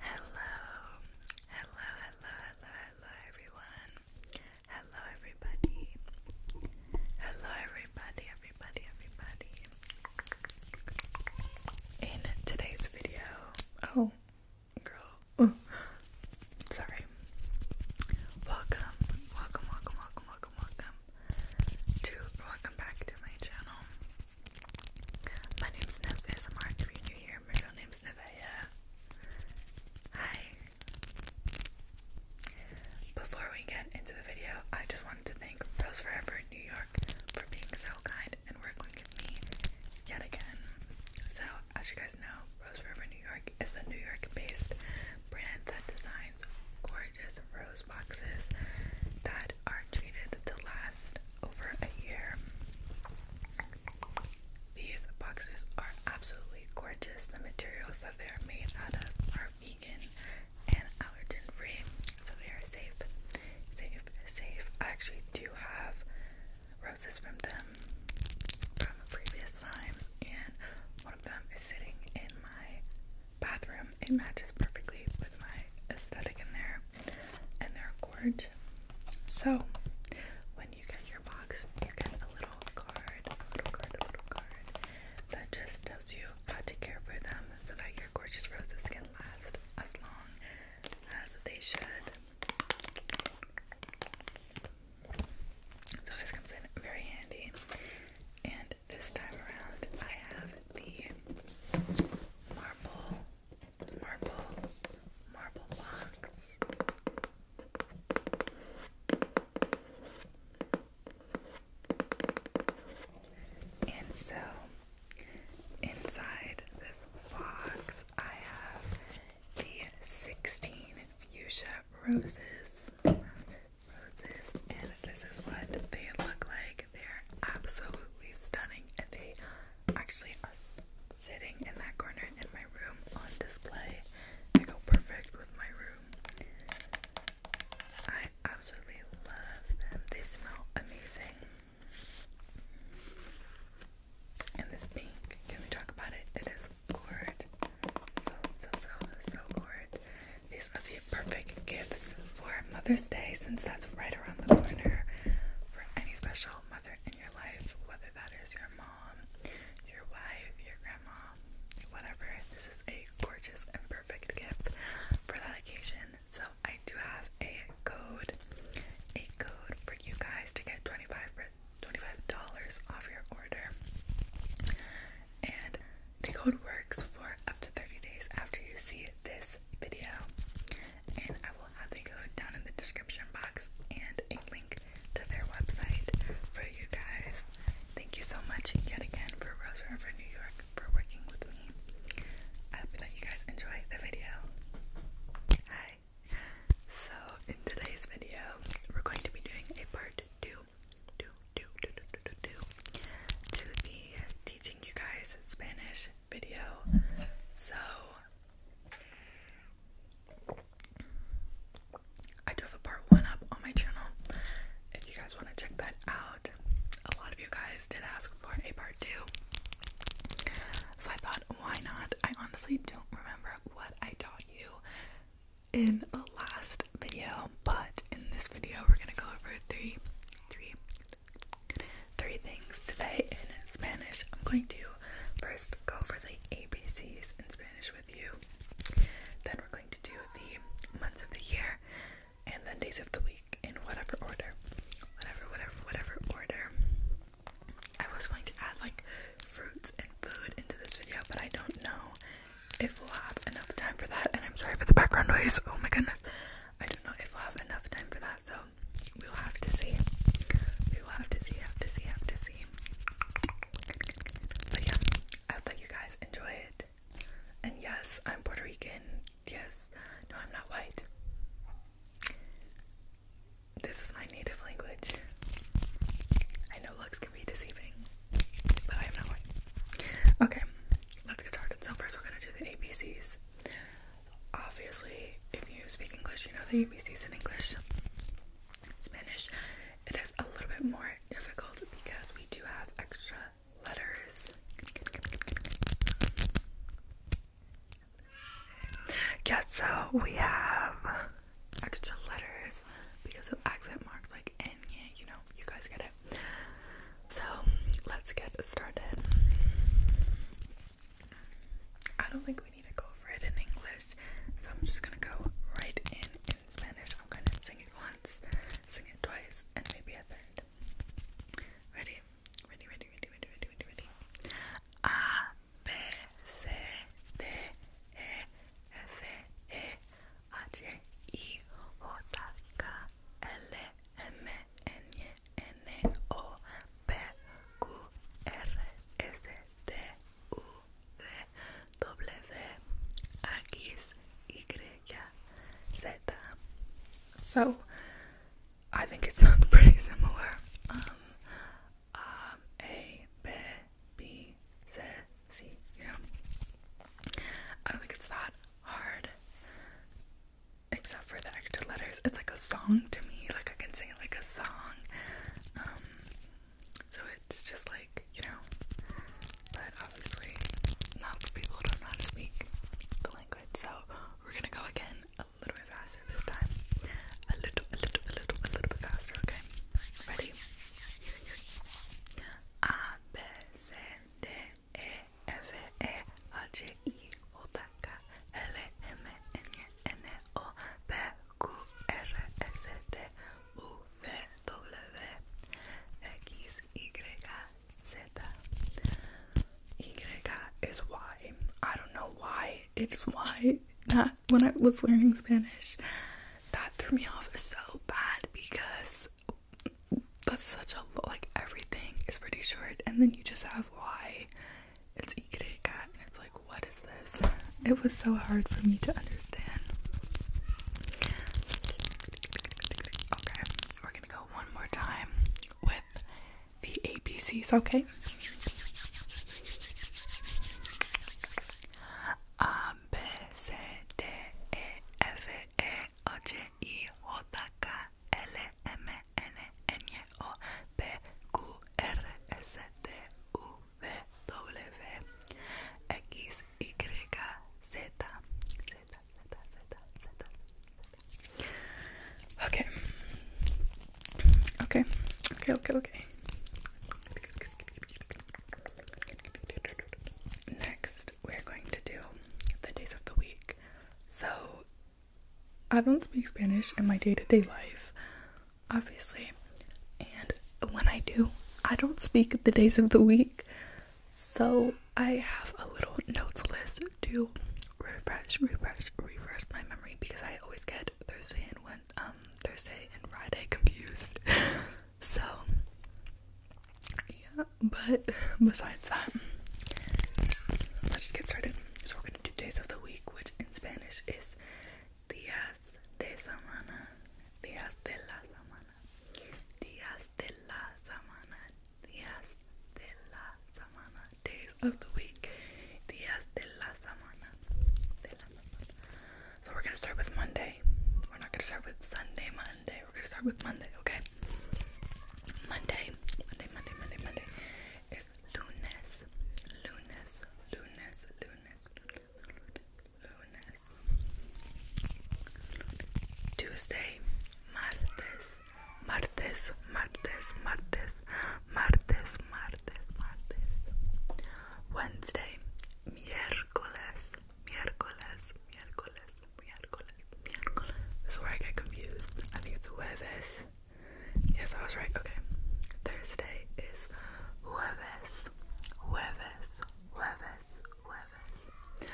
Hello, hello, hello, hello, hello, everyone. Hello, everybody. Hello, everybody, everybody, everybody. In today's video, oh, girl, oh, sorry. Welcome, welcome, welcome, welcome, welcome, welcome to welcome back to my channel. My name's Snips ASMR. If you're new here, my real name's Nevaeh. Hi. Before we get into the video, I just wanted to thank Rose Forever New York for being so kind and working with me yet again. So, as you guys know, Rose Forever New York is a New York-based brand that designs gorgeous rose boxes that are treated to last over a year. These boxes are absolutely gorgeous. The materials that they are made out of are vegan and allergen free, so they are safe. Safe, safe. I actually do have roses from them from previous times, and one of them is sitting in my bathroom. It matches perfectly with my aesthetic in there, and they're gorge. So, when you get your box, you get a little card, little card, little card that just tells you how to care for them so that your gorgeous roses can last as long as they should. So, this comes in very handy, and this time around I have the marble, marble, marble box. And so inside this box I have the 16 fuchsia roses roses, and this is what they look like. They're absolutely stunning, and they actually are sitting in that corner in my room on display. They go perfect with my room. I absolutely love them. They smell amazing. And this pink, can we talk about it? It is gourd. So, so, so, so gourd. These would be perfect gifts for Mother's Day since that's right around the corner for any special mother in your life, whether that is your mom, your wife, your grandma, whatever. This is a gorgeous and perfect gift for that occasion. So I do have a code, a code for you guys to get 25 $25 off your order. And the code works for up to 30 days after you see this video. And I will have the code down in the description box and a link to their website for you guys. Thank you so much yet again for Rose River, New York for working with me. I hope that you guys enjoy the video. Hi. So in today's video, we're going to be doing a part two to the teaching you guys Spanish video. So, I do have a part one up on my channel. If you guys want to check that out, a lot of you guys did ask for a part two. So I thought, why not? I honestly don't remember what I taught you in the last video, but in this video we're gonna go over three, three, three things today in Spanish. I'm going to first go over the ABCs in Spanish with you. Then we're going to do the months of the year and then days of the week in whatever order. Whatever, whatever, whatever order. I was going to add like fruits and food into this video, but I don't know if we'll have enough time for that. And I'm sorry for the background noise. Oh my goodness. I don't know if we'll have enough time for that, so we'll have to see. We will have to see, have to see, have to see. But yeah, I hope that you guys enjoy it. And yes, I'm Puerto Rican. Yes, no, I'm not white. This is my native language. I know looks Okay, let's get started. So first we're gonna do the ABCs. obviously, if you speak English, you know the ABCs in English. Spanish, it is a little bit more difficult because we do have extra letters. Yeah, so we have extra letters because of accent marks like and yeah, you know, you guys get it. So let's get started. I don't think we need to go over it in English, so I'm just gonna go right in in Spanish. I'm gonna sing it once, sing it twice, and maybe a third. Ready? Ready, ready, ready, ready, ready, ready, ready. A B C D E F E H I J K L M N N O P Q R S T U V W X Y Z. So I think it sounds pretty similar. Um, a, A, B, B, Z, C, you know? I don't think it's that hard. Except for the extra letters. It's like a song to me. Like I can sing it like a song. Um so it's just like, you know. But obviously not for people who don't speak the language. So we're gonna go again a little bit faster this time. A little, a little, a little, a little bit faster, okay? Ready? A B C D E F E H I O K L M N N O P Q R S T U V W X Y Z Y is Y. I don't know why it's why that when I was learning Spanish, that threw me off so bad because that's such a like everything is pretty short, and then you just have why. It's Ikere and it's like, what is this? It was so hard for me to understand. Okay, we're gonna go one more time with the ABCs, okay? A, B, C, D, E, F, E, H, I, J, K, L, M, N, N, O, P, Q, R, S, T, U, V, W, X, Y, Z, Z, Z, Z, Z. Okay. Okay, okay, okay, okay. Next, we're going to do the days of the week. So, I don't speak Spanish in my day to day life, obviously. And when I do, I don't speak the days of the week. So, I have a little notes list to refresh, refresh, refresh my memory because I always get Thursday and went um, Thursday and Friday confused. so yeah, but besides that, let's just get started. So we're gonna do days of the week, which in Spanish is días de la semana, días de la semana, días de la semana, días de la semana, days of the week. Días de la semana. De la semana. So we're gonna start with Monday. We're not gonna start with Sunday, Monday. We're gonna start with Monday, okay? Monday, Monday, Monday, Monday, Monday is lunes, lunes, lunes, lunes, lunes. Tuesday, martes, martes, martes, martes, martes, martes, martes, Wednesday, miércoles, miércoles, miércoles, miércoles, miércoles. This is where I get confused. I think it's jueves. Yes, I was right. Okay. Thursday is jueves, jueves, jueves, jueves.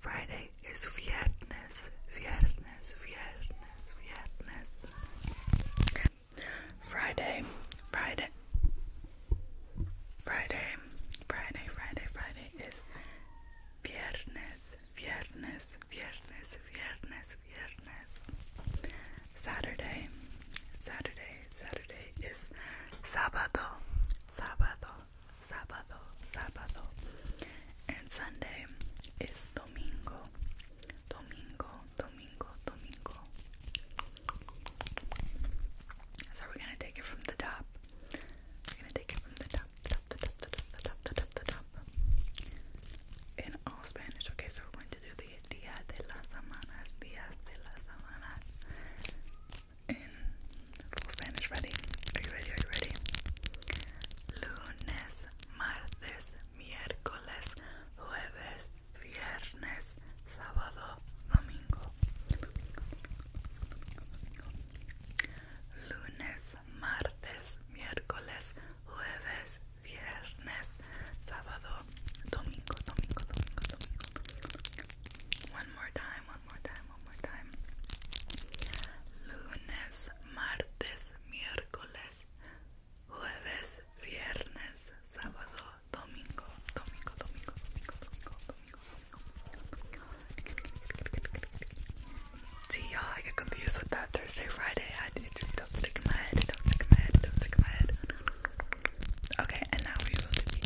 Friday is viernes, viernes, viernes weirdness, weirdness. Friday, Friday, Friday, Friday, Friday, Friday is viernes, viernes, viernes, viernes, viernes. Saturday, Saturday, Saturday is sábado, sábado, sábado, sábado. And Sunday is domingo, Domingo, Domingo, Domingo. So we're gonna take it from the top. We're gonna take it from the top, top, the top, the top, top, top, top. In all Spanish. Okay, so we're going to do the Dia de las Semanas, Dias de las Semanas. In full Spanish, ready? Are you ready? Are you ready? Lunes, martes, miércoles, jueves, viernes, sábado, domingo, lunes, martes, miércoles, jueves, viernes, sábado, domingo, domingo, domingo, domingo. One more time, one more time, one more time. Lunes, martes, miércoles, jueves, viernes, sábado, domingo, domingo, domingo, domingo, domingo, domingo, domingo, domingo. See y'all, I get confused with that Thursday, Friday. I it just don't stick in my head, it don't stick in my head, it don't stick in my head. Okay, and now we will be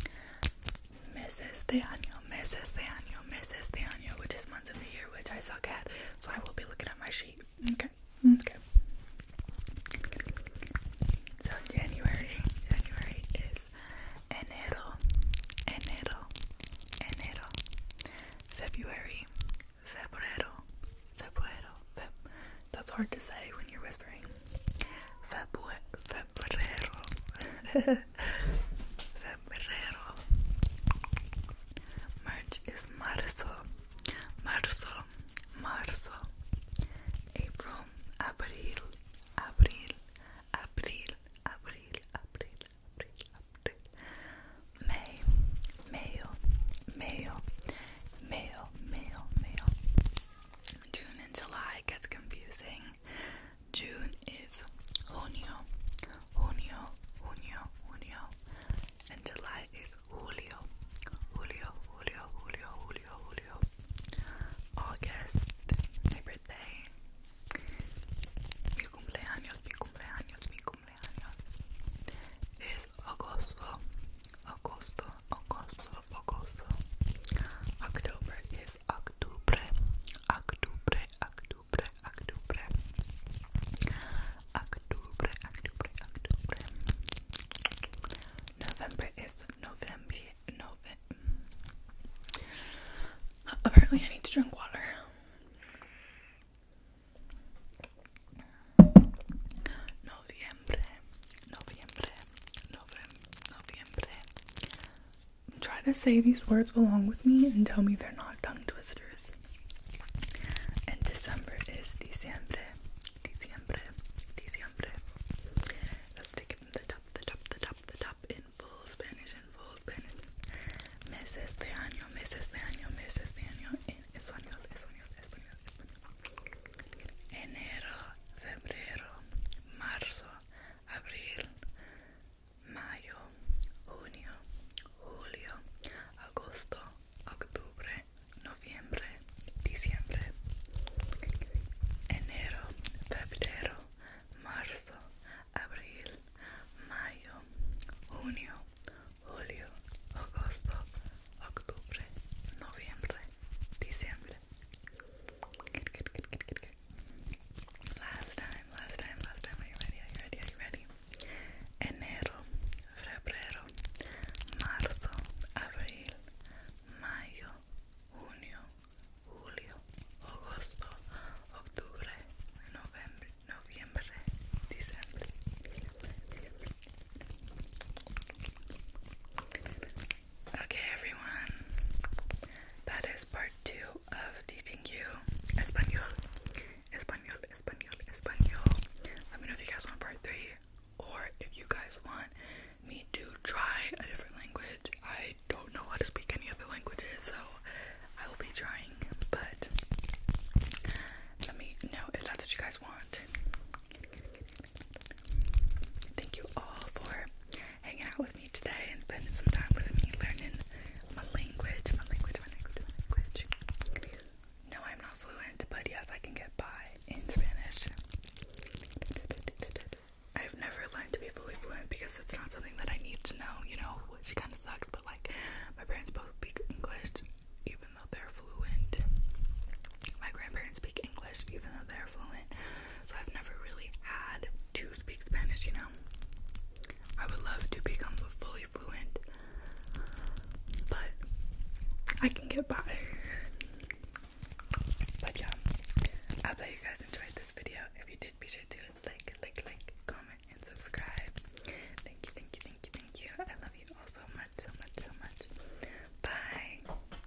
doing meses de año meses de año, meses de año, which is months of the year, which I suck at, so I will be looking at my sheet. Okay, okay. So January, January is enero, enero, enero. February, febrero, febrero. Feb That's hard to say when you're whispering. Febrero. febrero. March is marzo, marzo, marzo. April, abril, abril, abril, abril, abril, abril, abril. May, mayo, mayo, mayo, mayo, June and July gets confusing. June is junio, junio, junio, junio, and July is julio, julio, julio, julio, julio, julio. August, my birthday. Mi cumpleaños, mi cumpleaños, mi cumpleaños. Es agosto, agosto, agosto, agosto. October is octubre, octubre, octubre octubre, octubre, octubre, octubre, octubre. November is November, November. Hmm. Apparently, I need to drink water. Noviembre, Noviembre, November, Noviembre, Try to say these words along with me and tell me they're not tongue twisters. And December is diciembre, diciembre, diciembre. Let's take the top, the top, the top, the top in full Spanish, in full Spanish. Meses de año, meses de año, meses de año en Enero, febrero, marzo, abril. mayo, junio, julio, agosto, octubre, noviembre, diciembre, enero, febrero, marzo, abril, mayo, junio, julio, agosto, octubre, noviembre, diciembre. Last time, last time, last time. Are you ready? Are you ready? Are you ready? Enero, febrero, marzo, abril, mayo, junio, julio, agosto, octubre, noviembre, noviembre, diciembre. Okay, everyone, that is part two of teaching you Espanol. Espanol, Espanol, Espanol. Let me know if you guys want part three or if you guys want me to try a different language. I don't know how to speak any other languages, so I will be trying, but let me know if that's what you guys want. Thank you all for hanging out with me today and spending some time with me learning my language, my language, my language, my language. No, I'm not fluent, but yes, I can get by in Spanish. I've never learned to be fully fluent because it's not something that I need to know, you know, which kind of sucks, but like, my parents both speak English even though they're fluent. My grandparents speak English even though they're fluent. So I've never really had to speak Spanish, you know. I would love to become fully fluent, but I can get by. But yeah, I hope you guys enjoyed this video. If you did, be sure to like, like, like, comment, and subscribe. Thank you, thank you, thank you, thank you. I love you all so much, so much, so much. Bye.